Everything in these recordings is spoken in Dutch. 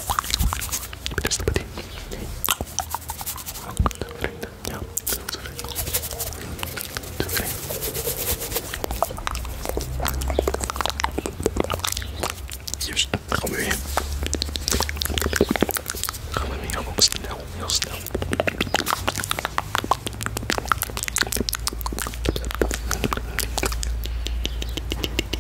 Je bent beste bedien. Vrienden, ja, tevreden. Tevreden. Juist, dan gaan we weer. Gaan we weer heel snel, heel snel.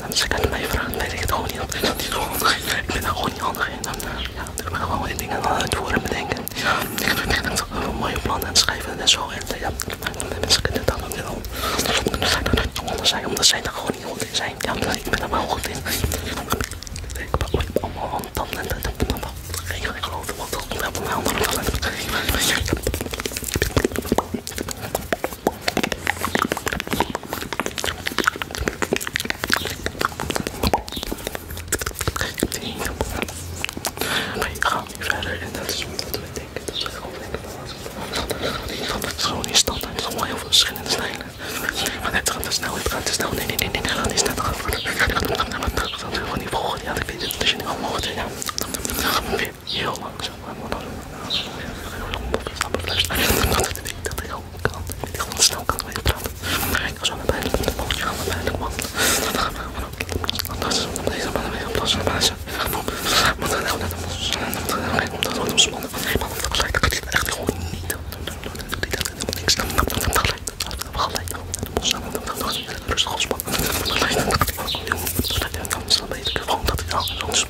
Mensen als mij weet ik het gewoon niet. Ik ben, gewoon, ik ben daar gewoon niet handig in. En, eh, ja, ik ben gewoon die dingen aan het voeren en bedenken. Ja, ik heb echt heel mooie plannen en schrijven en zo. En eh, ja, mensen kunnen dat ook wel. Anders zijn, omdat zij er gewoon niet goed in zijn. Ja, ik ben er wel goed in. Ik handen allemaal dat talenten. Ik dan. allemaal geen geloof, dat komt helemaal mijn andere maar je gaat niet verder en dat is omdat we denken dat we gewoon lekker balans hebben. Het is gewoon niet standaard, het is allemaal heel veel verschillende snijden. Maar net gaat te snel, het gaat snel. Nee, nee, nee, nee, dat gaat niet snel. Dat gaat te snel. Dat gaat te snel. Dat gaat te snel. Dat gaat te snel. Dat gaat te snel. Dat gaat te snel. Dat gaat te snel. Dat gaat te snel. Dat gaat te snel. Dat gaat te snel. Dat gaat te snel. Dat gaat te snel. Dat gaat te snel. Dat gaat te snel. Dat gaat heel langzaam moet dat doen. Dat ik denk dat ik ook kan. Ik gewoon snel kan mee praten. Maar ik aan de pijn, de bootje aan de pijn, de man. Dan gaan we gewoon Anders, deze mannen weer oplossen. Maar ze moeten heel net omspannen. Omdat het ontspannen van helemaal op gelijk. Dat doet echt gewoon niet. Dat doet dat helemaal niks. Dan gelijk. Gelijk. Rustig ontspannen. Gelijk. Dan kan het beter. Gewoon dat ik al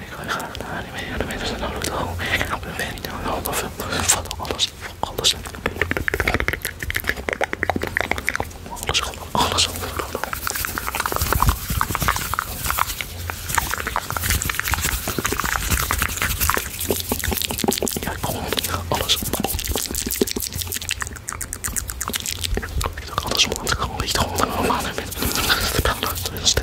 ik ga wil graag naar anime, anime is een auto. Ik ben niet aan de hand of van alles, alles. Alles, alles, alles. Ja, gewoon alles. Ik doe alles, want ik gewoon niet gewoon normaal ben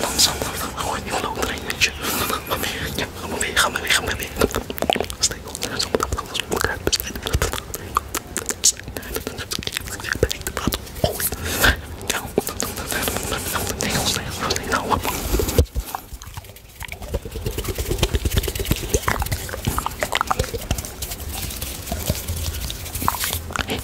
Langzaam, gewoon niet loodrein, weet je. Ga maar weer, ja, ga maar weer, ga maar weer, ga maar weer. Steek op, zo, alles op elkaar bestrijden.